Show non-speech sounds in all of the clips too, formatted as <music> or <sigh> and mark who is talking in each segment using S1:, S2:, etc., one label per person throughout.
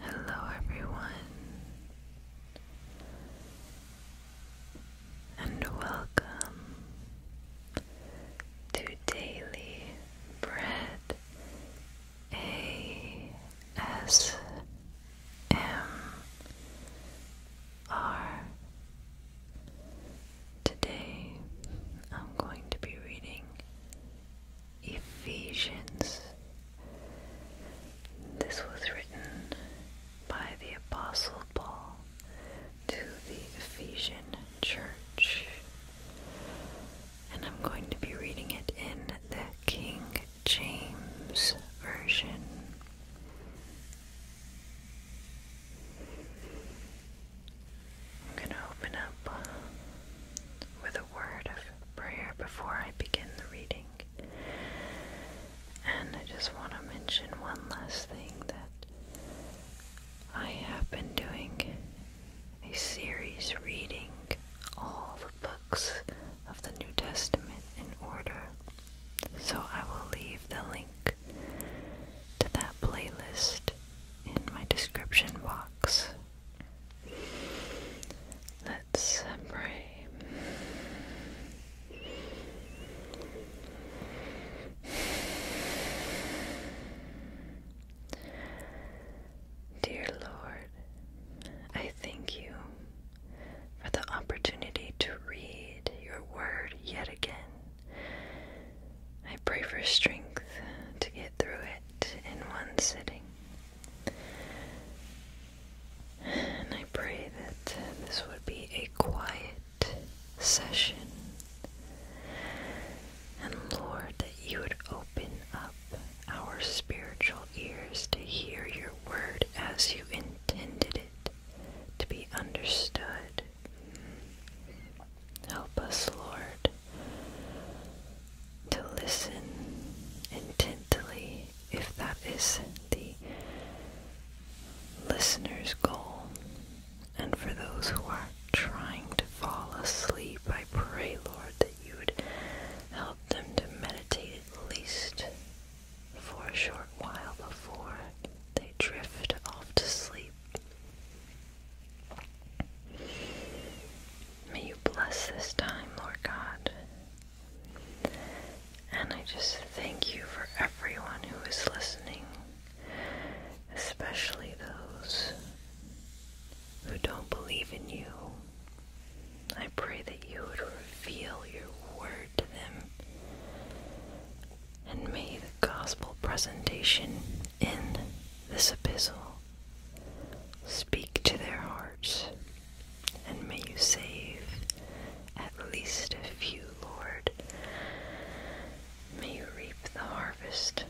S1: Hello, everyone, and welcome to Daily Bread ASMR. M R. Today I'm going to be reading Ephesians. This was written by the Apostle Paul to the Ephesian church. And I'm going to be reading it in the King James Version. I'm going to open up with a word of prayer before I begin the reading. And I just want to mention one last thing that I have been doing a series reading all the books of the New Testament in order. So I will leave the link to that playlist in my description box. Let's pray. Dear Lord, I thank you for the opportunity to read your word yet again. I pray for strength to get through it in one sitting. And I pray that this would be a quiet session. And Lord, that you would open up our spiritual ears to hear your word as you intended it to be understood. Help us, Lord, to listen intently if that is the listener's goal. And for those who are trying to fall asleep, I pray, Lord, that you would help them to meditate at least for a short while before they drift off to sleep. May you bless this time, Lord God. And I just thank you for everyone who is listening, especially those who don't believe in you I pray that you would reveal your word to them. And may the gospel presentation in this epistle speak to their hearts. And may you save at least a few, Lord. May you reap the harvest.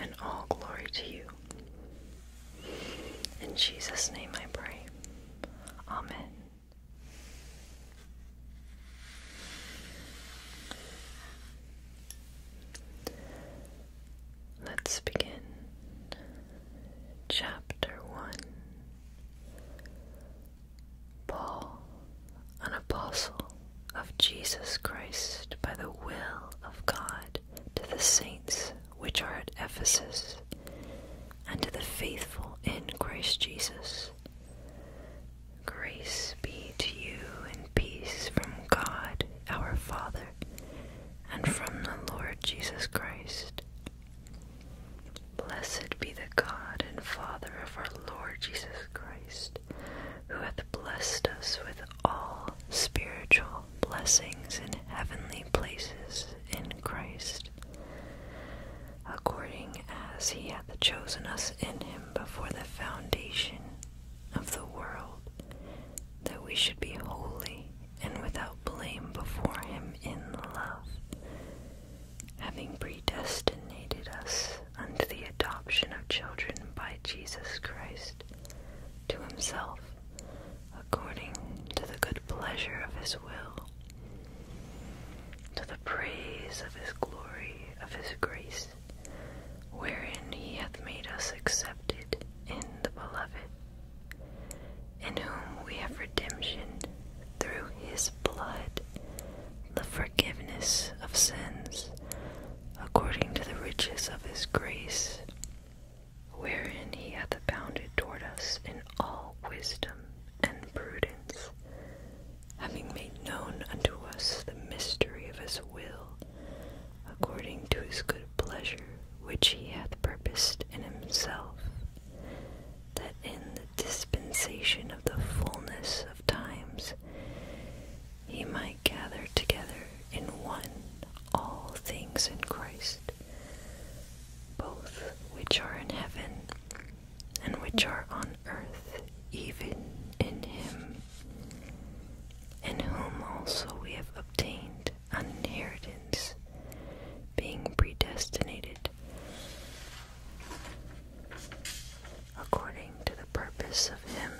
S1: And all glory to you. In Jesus' name I pray. Amen. Let's begin. Chapter 1 Paul, an apostle of Jesus Christ by the will of God, to the saints which are at Ephesus and to the faithful in Christ Jesus. Grace be to you and peace from God our Father and from the Lord Jesus Christ. Blessed be the God and Father of our Lord Jesus Christ, who hath blessed us with all spiritual blessings in heavenly places in Christ according as he hath chosen us in him before the foundation of the world, that we should be holy and without blame before him in love, having predestinated us unto the adoption of children by Jesus Christ to himself according to the good pleasure of his will, to the praise of his glory, of his grace, wherein he hath made us accepted in the beloved, in whom we have redemption through his blood, the forgiveness of sins, according to the riches of his grace wherein he hath abounded toward us in all wisdom and prudence, having made known unto us the mystery of his will, according to his good pleasure, which he hath purposed in himself, that in the dispensation of the fullness of times he might gather together in one all things in Christ both which are in heaven and which are on earth, even in him, in whom also we have obtained an inheritance, being predestinated according to the purpose of him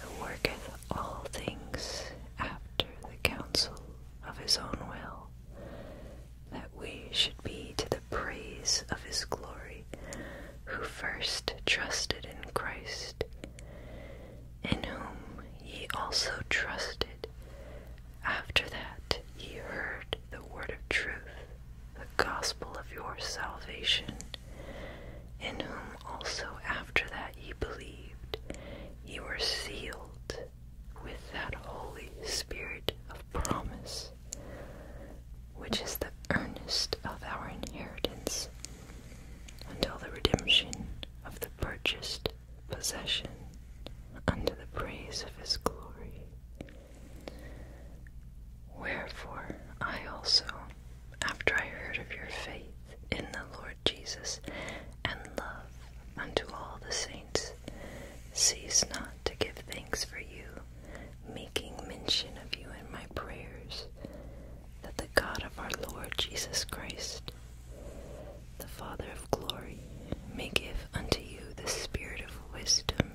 S1: who worketh all things after the counsel of his own will, that we should be to the praise of his glory, who first trusted in Christ, in whom ye also trusted, after that ye heard the word of truth, the gospel of your salvation, in whom also after that that believed, ye were sealed with that Holy Spirit of promise, which is the earnest of our inheritance until the redemption of the purchased possession unto the praise of his glory. Wherefore I also, after I heard of your faith, in the Lord Jesus and love unto all the saints. Cease not to give thanks for you, making mention of you in my prayers, that the God of our Lord Jesus Christ, the Father of glory, may give unto you the spirit of wisdom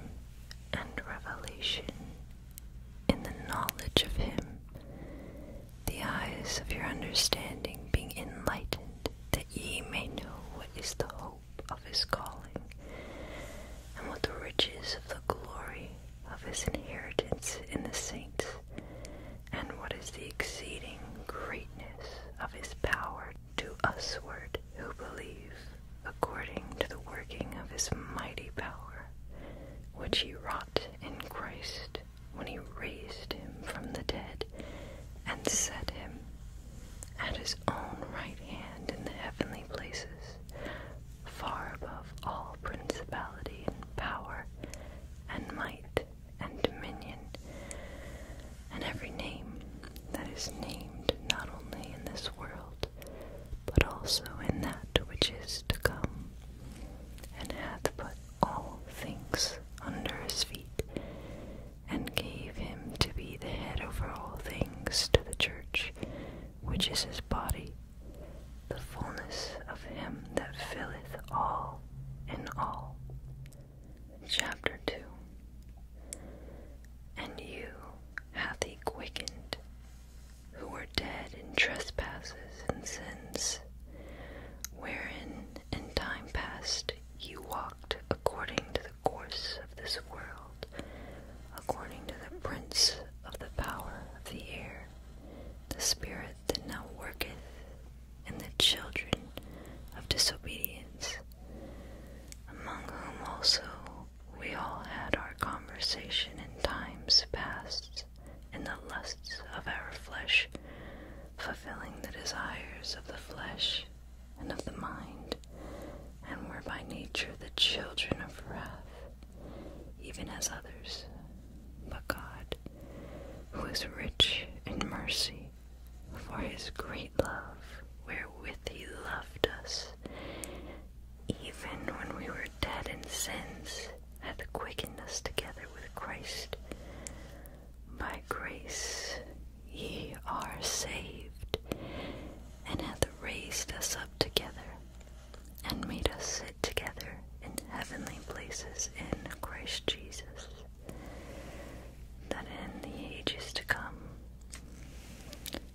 S1: and revelation in the knowledge of him, the eyes of your understanding being enlightened, that ye may know what is the hope of his calling, and what the riches of the glory of his inheritance in the saints, and what is the exceeding greatness of his power to usward who believe, according to the working of his mighty power, which he wrought in Christ when he raised him from the dead and set him at his own right hand in the heavenly places, far above all principality and power and might and dominion, and every name that is named not only in this world, but also in that which is to come and hath put all things under his feet, and gave him to be the head over all things to the church, which is his body, the fullness of him that filleth all in all. Chapter 2 And you hath he quickened, who were dead in trespasses and sins, wherein in time past, you walked according to the course of this world, according to the prince of the power of the air, the spirit that now worketh in the children of disobedience, among whom also we all had our conversation in times past in the lusts of our flesh, fulfilling the desires of the flesh and of the mind, and were by nature the children of wrath, even as others. But God, who is rich in mercy, for his great love wherewith he loved us, even when we were dead in sins, hath quickened us together with Christ. By grace ye are saved, and hath raised us up together, and made us sit together in heavenly places in Christ Jesus, that in the ages to come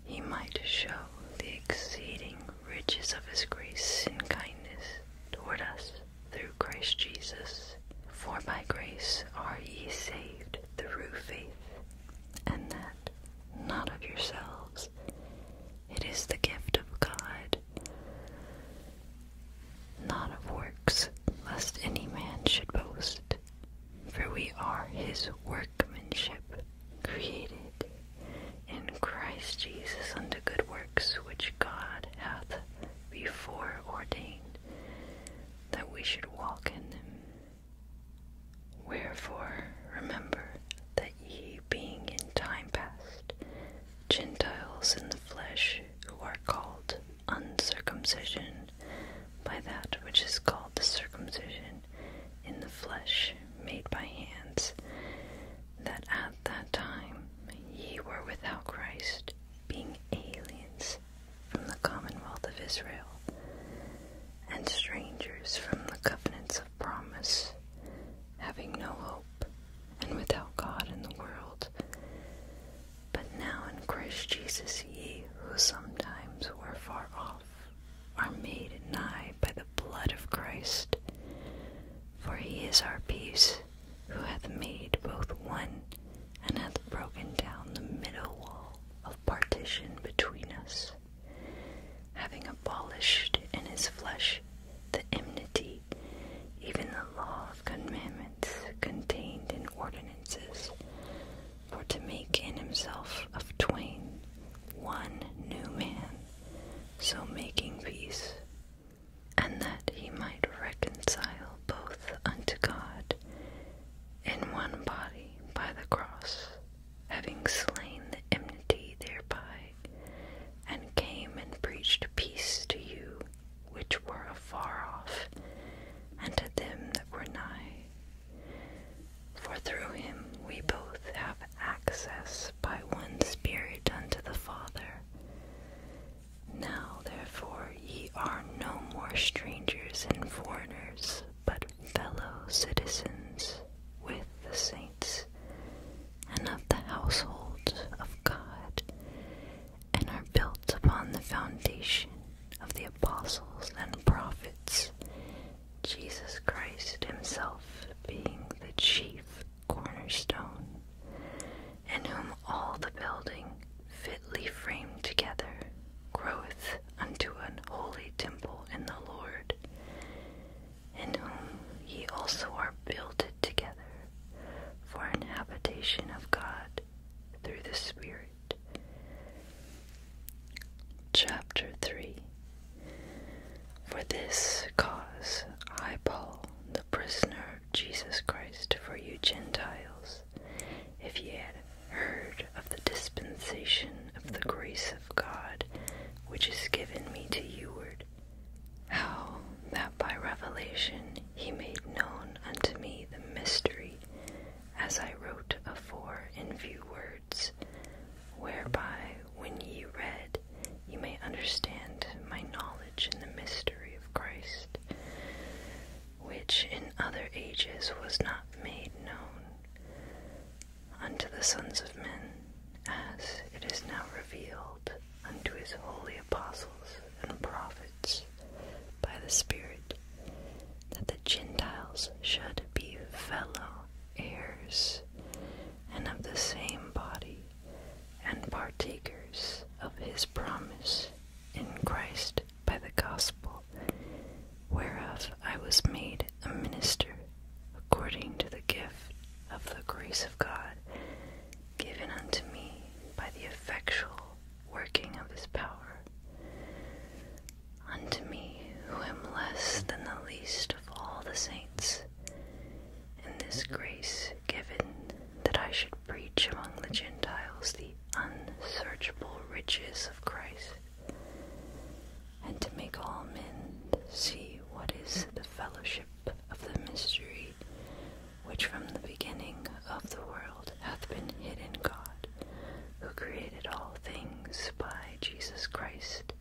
S1: he might show the exceeding riches of his grace and kindness toward us through Christ Jesus. For by grace are ye saved through faith, and that not of yourselves. It is the gift of God, not of works, lest any man should boast. For we are his workmanship, created in Christ Jesus unto good works which God hath before ordained that we should walk in them. Wherefore remember that ye being in time past Gentiles in the flesh who are called uncircumcision by that which is called the circumcision in the flesh made by hands, that at that time ye were without Christ, being aliens from the commonwealth of Israel, and strangers from the covenants of promise, having no hope, and without God in the world. But now in Christ Jesus ye who sometimes were far off are made nigh by the blood of Christ. For he is our peace, who hath made both one, and hath broken down the middle wall of partition between us, having abolished in his flesh the enmity, even the law of commandments contained in ordinances, for to make in himself of twain one new man, so making peace and that he might reconcile both unto God in one body by the cross, having slain the enmity thereby, and came and preached peace to you which were afar off, and to them that were nigh. For through him we both have access by one Spirit unto the Father. Now, therefore, ye are no more strangers and foreigners, but fellow citizens with the saints, and of the household of God, and are built upon the foundation of the apostles and prophets, Jesus Christ Himself being the chief cornerstone, in whom all the building, fitly framed together, groweth unto an holy temple in the Lord, in whom ye also are builded together for an habitation of God through the Spirit. Chapter 3 for this cause I, Paul, the prisoner of Jesus Christ, for you Gentiles, if ye had heard of the dispensation of the grace of God which is given me to youward, how that by revelation he made known unto me the mystery, as I wrote afore in few words, whereby when ye read, ye may understand my knowledge in the mystery of Christ, which in other ages was not made known unto the sons of men, as it is now revealed unto his holy apostles and prophets by the Spirit, that the Gentiles should be fellow heirs and of the same body and partakers of his promise in Christ by the gospel, whereof I was made a minister according to the gift of the grace of God given unto me by the effectual working of his power. Unto me, who am less than the least of all the saints, in this grace given that I should preach among the Gentiles the unsearchable riches of Christ, and to make all men see what is the fellowship of the mystery which from the beginning of the world hath been hid in God, who created all things by Jesus Christ,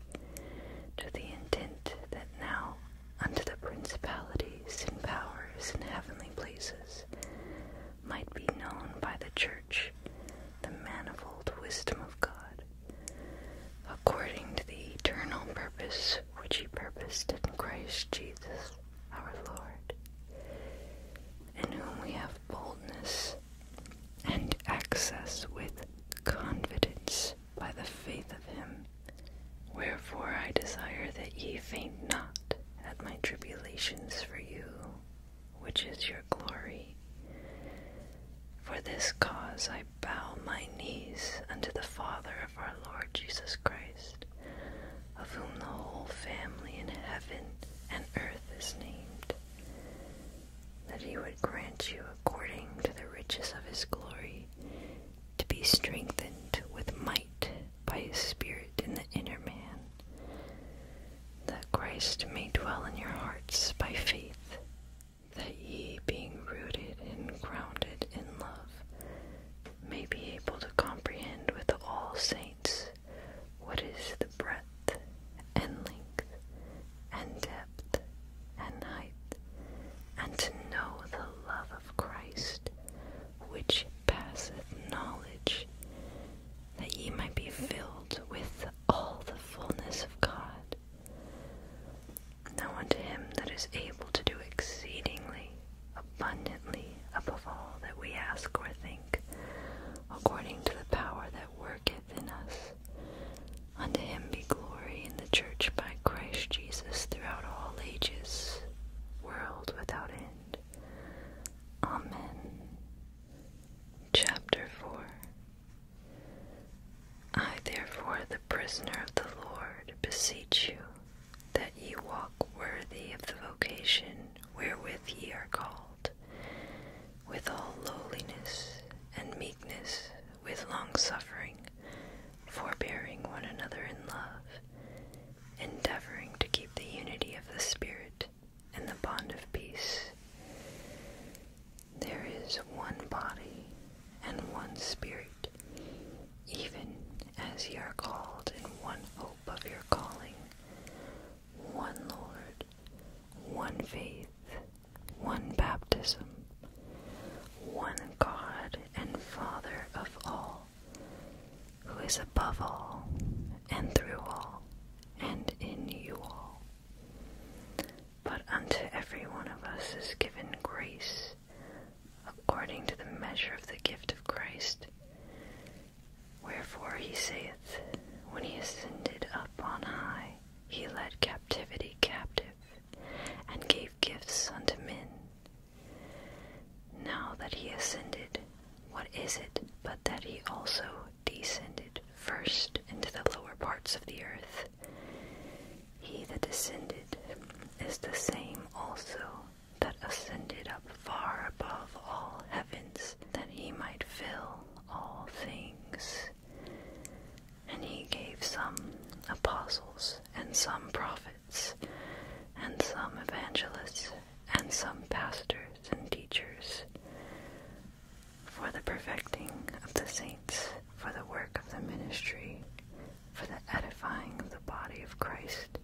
S1: to the intent that now unto the principalities and powers in heavenly places, might be known by the church the manifold wisdom of God, according to the eternal purpose which he purposed in Christ Jesus our Lord, in whom we have boldness and access with confidence by the faith of him. Wherefore I desire that ye faint not at my tribulations for you, which is your glory. For this cause I bow my knees unto the Father of our Lord Jesus Christ, of whom the whole family in heaven and earth is named, that he would grant you, according to the riches of his glory, to be strengthened with might by his Spirit in the inner man, that Christ may dwell in your hearts by faith, that ye, being rooted and grounded in love, may be able to comprehend with all saints what is the breadth and length and depth and height, and to know the love of Christ, which passeth knowledge, that ye might be filled with all the fullness of God. Now unto him that is able to do exceedingly abundantly above all that we ask or think, according to the power that worketh in us. Unto him be glory in the church by Christ Jesus throughout all ages, world without end. Amen. Chapter 4 I therefore, the prisoner of the Lord, beseech you that ye walk worthy of the vocation wherewith ye are called, with all lowliness and meekness, with longsuffering forbearing one another in love, endeavoring to keep the unity of the Spirit and the bond of peace. There is one body and one Spirit, even as ye are called in one hope of your calling, one Lord, one faith, one baptism, one God and Father of all, who is above all, and through all, and in you all. But unto every one of us is given grace according to the measure of the gift of Christ. Wherefore he saith, When he ascended up on high, he led captivity captive and gave gifts unto men. Now that he ascended, what is it but that he also descended first into the lower parts of the earth? He that descended is the same also that ascended up far above all heavens, that he might fill all things. And he gave some apostles, and some prophets, and some evangelists, and some pastors and teachers, for the perfecting of the saints, for the work of the ministry, for the edifying of the body of Christ,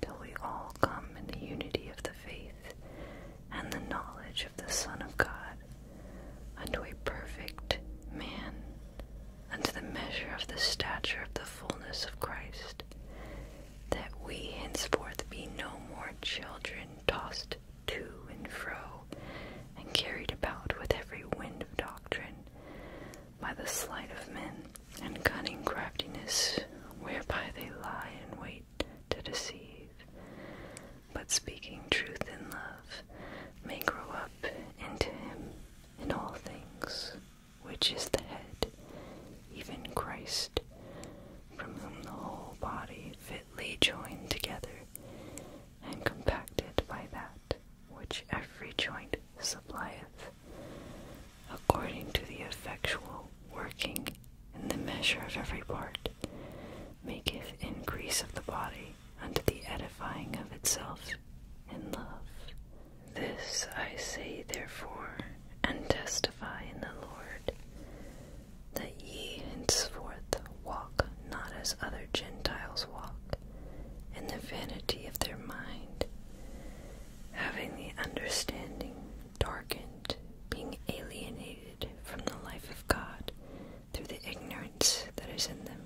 S1: till we all come in the unity of the faith and the knowledge the Son of God, unto a perfect man, unto the measure of the stature of the fullness of Christ, that we henceforth be no more children tossed to and fro, and carried about with every wind of doctrine, by the sleight of men, and cunning craftiness, whereby they lie in wait to deceive, but speaking truth in love may grow up into him in all things, which is the head, even Christ, from whom the whole body fitly joined together and compacted by that which every joint supplieth, according to the effectual working in the measure of every part, maketh increase of the body unto the edifying of itself in love. This I say, therefore, and testify in the Lord, that ye henceforth walk not as other Gentiles walk, in the vanity of their mind, having the understanding darkened, being alienated from the life of God through the ignorance that is in them,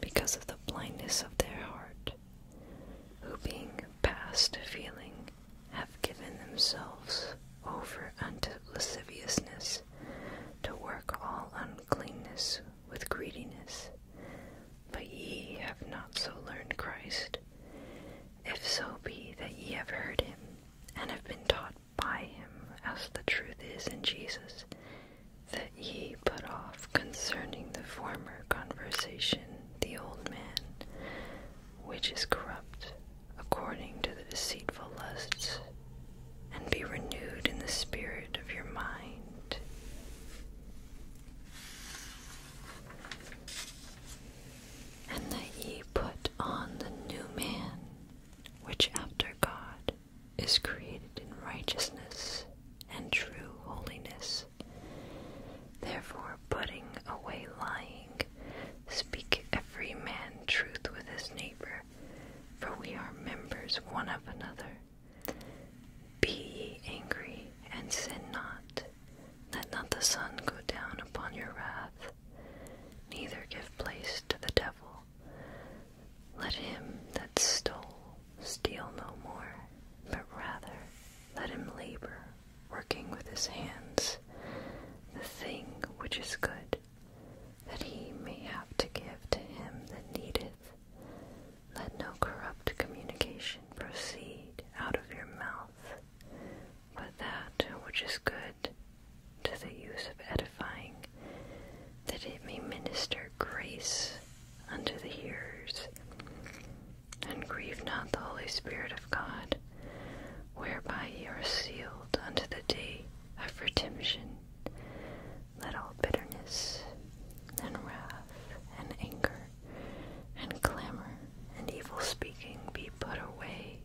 S1: because of the blindness of their heart, who being past feeling have given themselves over unto lasciviousness, to work all uncleanness with greediness. But ye have not so learned Christ. If so be that ye have heard him, and have been taught by him as the truth is in Jesus, that ye put off concerning the former conversation the old man, which is corrupt according to the deceitful lusts, and be renewed in the spirit of your mind. And that ye put on the new man, which after God is created in righteousness and true holiness. Therefore, putting away lying, speak every man truth with his neighbor, for we are members one of another. Be ye angry, and sin not. Let not the sun go down upon your wrath, neither give place to the devil. Let him that stole steal no more, but rather let him labor, working with his hands, the thing which is good, that he may have to give to him that needeth. Let no corrupt communication proceed out of your mouth, but that which is good to the use of edifying, that it may minister grace unto the hearers. And grieve not the Holy Spirit of God, whereby ye are sealed unto the day of redemption. Let all bitterness and wrath and anger and clamor and evil speaking be put away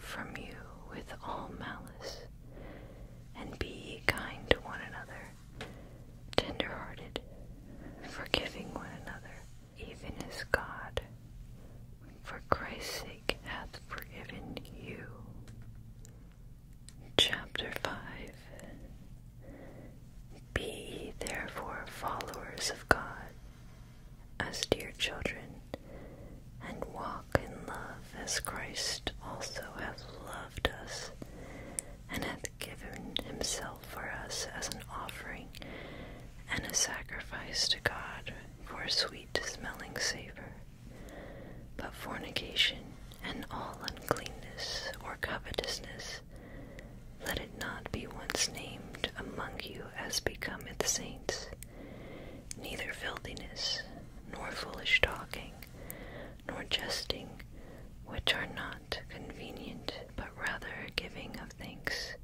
S1: from you with all malice, and be kind to one another, tenderhearted, forgiving one another, even as God, for Christ's sake, hath forgiven you. Chapter 5 Be therefore followers of God, as dear children, and walk in love as Christ also hath loved us, and hath given himself for us as an offering and a sacrifice to God for a sweet smelling savour. But fornication and all uncleanness or covetousness, let it not be once named among you as becometh saints, neither filthiness, nor foolish talking, nor jesting, which are not convenient, but rather giving of thanks.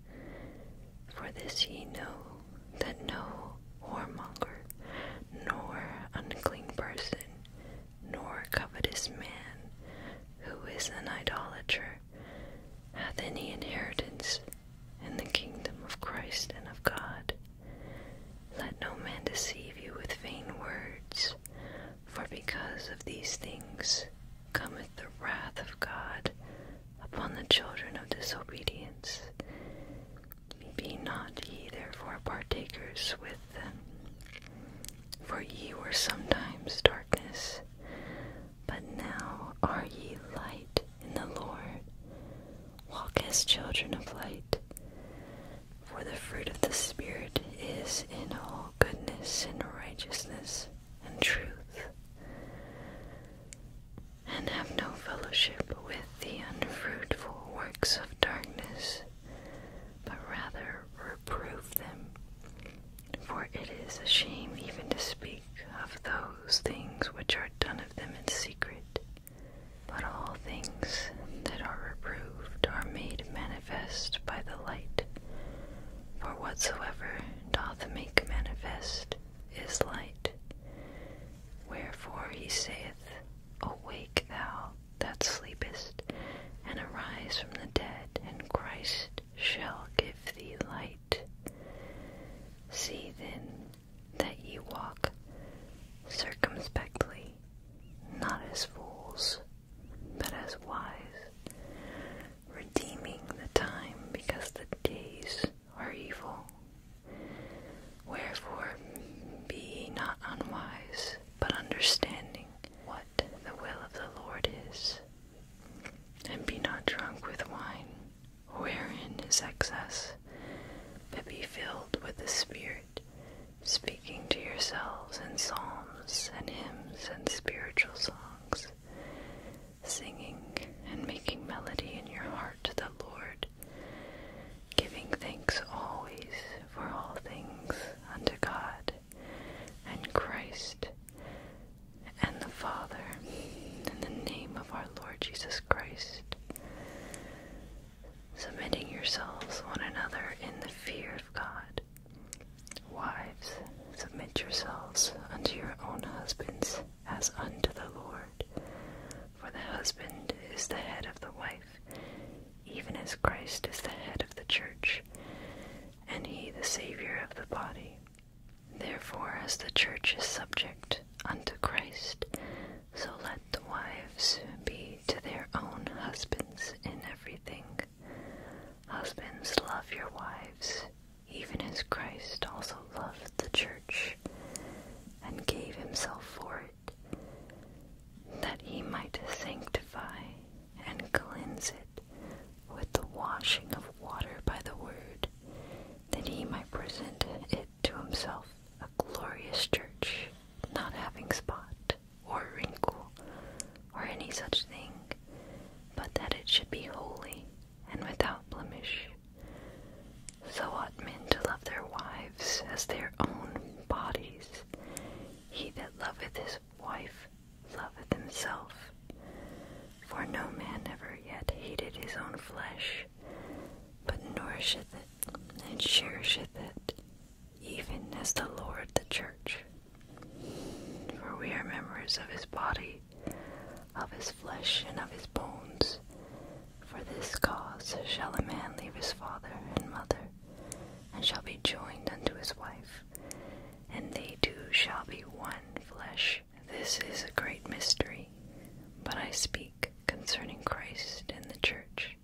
S1: For this ye know that no whoremonger, nor unclean person, nor covetous man, who is an idolater, hath any inheritance in the kingdom of Christ and of God. Let no man deceive you with vain words, for because of these things cometh the wrath of God upon the children of disobedience. Be not ye therefore partakers with them. For ye were sometimes darkness, but now are ye light in the Lord. Walk as children of light. For the fruit of the Spirit is in all goodness and righteousness and truth. And have no fellowship with the unfruitful works of darkness, but rather reprove them. For it is a shame even to speak of those things which are done of them in secret, but all things that are reproved are made manifest by the light. For whatsoever doth make manifest is light. Wherefore he saith, Awake thou that sleepest, and arise from the dead, and Christ shall give thee light. See then that ye walk circumspectly, not as fools, but as wise, redeeming the time because the days are evil. Wherefore be ye not unwise, but understanding what the will of the Lord is, and be not drunk with wine wherein is excess, but be filled with the Spirit, speaking to yourselves in psalms and hymns and spiritual songs, singing and making melody in your heart to the Lord, giving thanks always for all things unto God and Christ, and the Father, in the name of our Lord Jesus Christ, submitting yourselves one another in the fear of God. Wives, submit yourselves unto your own husbands as unto the Lord. For the husband is the head of the wife, even as Christ is the head of the church, and he the Savior of the body. Therefore, as the church is subject unto Christ, so let the wives be to their own husbands in everything. Husbands, love your wives, even as Christ also loved the church and gave himself for it, that he might sanctify and cleanse it with the washing of water by the word that he might present it to himself a glorious church, not having spot, or wrinkle, or any such thing, but that it should be holy and without blemish. So ought men to love their wives as their own bodies. He that loveth his wife loveth himself. For no man ever yet hated his own flesh, but nourisheth it and cherisheth it, even as the Lord the church. For we are members of his body, of his flesh, and of his bones. For this cause shall a man leave his father and mother, and shall be joined unto his wife, and they two shall be one flesh. This is a great mystery, but I speak concerning Christ and the Church.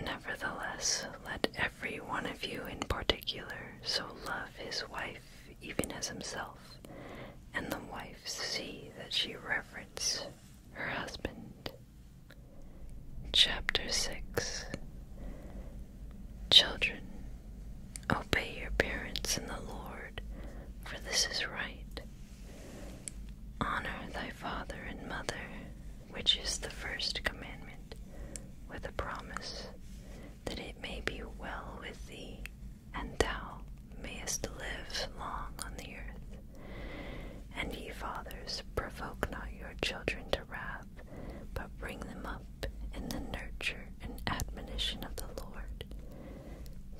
S1: Nevertheless, let every one of you in particular so love his wife even as himself, and the wife see that she reverence her husband. Chapter 6 Children, Obey your parents in the Lord, for this is right. Honor thy father and mother, which is the first commandment, with a promise that it may be well with thee, and thou mayest live long on the earth. And ye fathers, provoke not your children to wrath, but bring them up in the nurture and admonition of the Lord.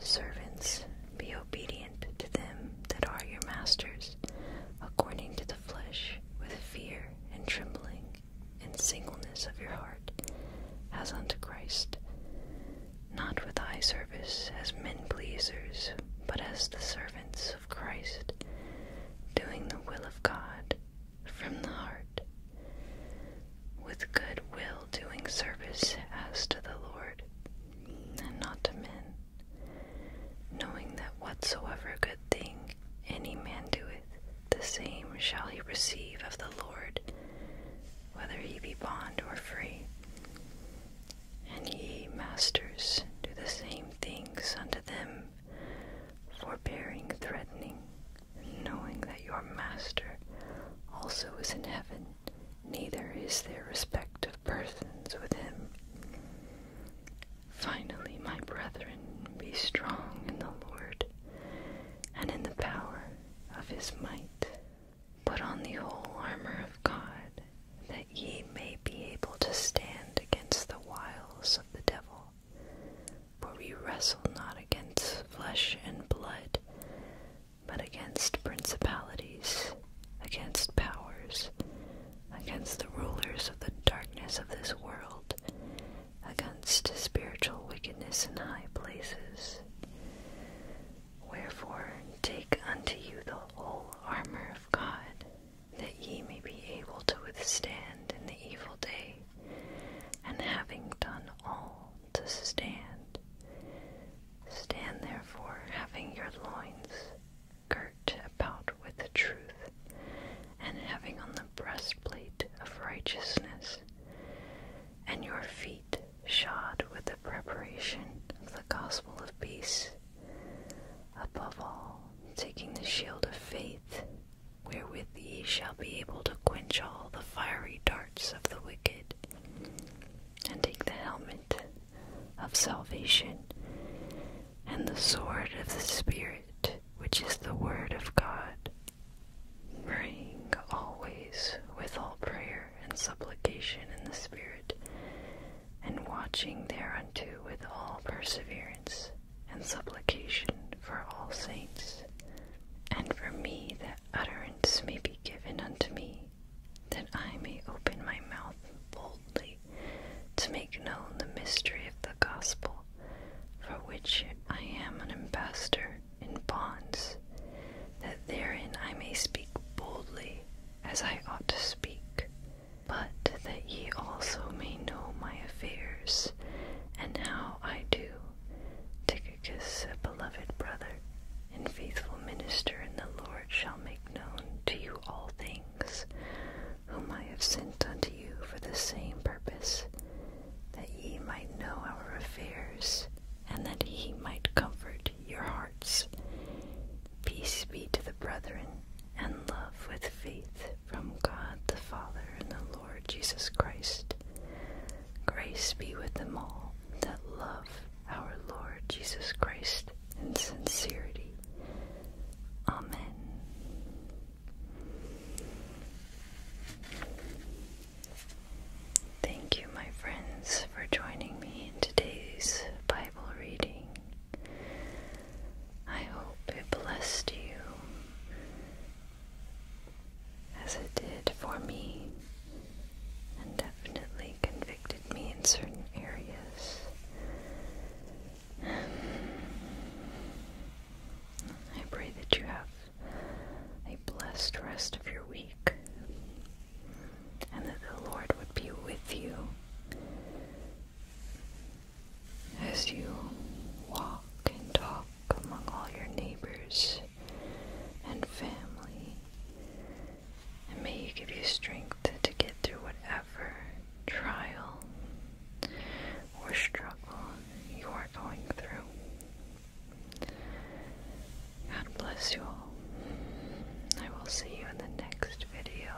S1: Servants, be obedient to them that are your masters, according to the flesh, with fear and trembling, and singleness of your heart, as unto Christ, not with eye service as men pleasers, but as the servants of Christ, doing the will of God from the heart, with good will doing service as to the Lord, and not to men, knowing that whatsoever good thing any man doeth, the same shall he receive of the Lord, whether he be bond or free. And ye, masters, do the same things unto them, forbearing, threatening, knowing that your Master also is in heaven, neither is there respect of persons with him. Finally, my brethren, be strong in the Lord and in the power of his might. Put on the whole armor of God, that ye may be able to stand against the wiles of the devil. For we wrestle not against flesh and blood, but against principalities, against powers, against the rulers of the darkness of this world, against spiritual wickedness in high places. Wherefore, take unto you the whole armor of God, that ye may be able to withstand in the evil day, and having done all to stand, stand therefore, having your loins girt about with the truth, and having on the breastplate of righteousness, and your feet shod with the preparation of the gospel of peace. Above all, taking the shield of faith, wherewith ye shall be able to quench all the fiery darts of the wicked, and take the helmet of salvation, and the sword of the Spirit, which is the word of God, praying always with all prayer and supplication in the Spirit, and watching thereunto with all perseverance and supplication for all saints, and for me that utterance may be given unto me, that I may open my mouth boldly to make known the mystery of the gospel, for which I am an ambassador in bonds, that therein I may speak boldly as I ought to speak, but that ye also may know my affairs and how I do, because a beloved brother and faithful minister in the Lord, shall make known to you all things, whom I have sent unto you for the same purpose, that ye might know our affairs, and that he might comfort your hearts. Peace be to the brethren, and love with faith from God the Father and the Lord Jesus Christ. Grace be with them all that love our Lord Jesus Christ in sincerity. Amen. Thank you, my friends, for joining me in today's Bible reading. I hope it blessed you as it did for me, and definitely convicted me in certain areas. <sighs> I pray that you have a blessed rest of your week and that the Lord would be with you as you walk and talk among all your neighbors and family. And may you give you strength to get through whatever trial or struggle you are going through. God bless you all. I will see you in the next video.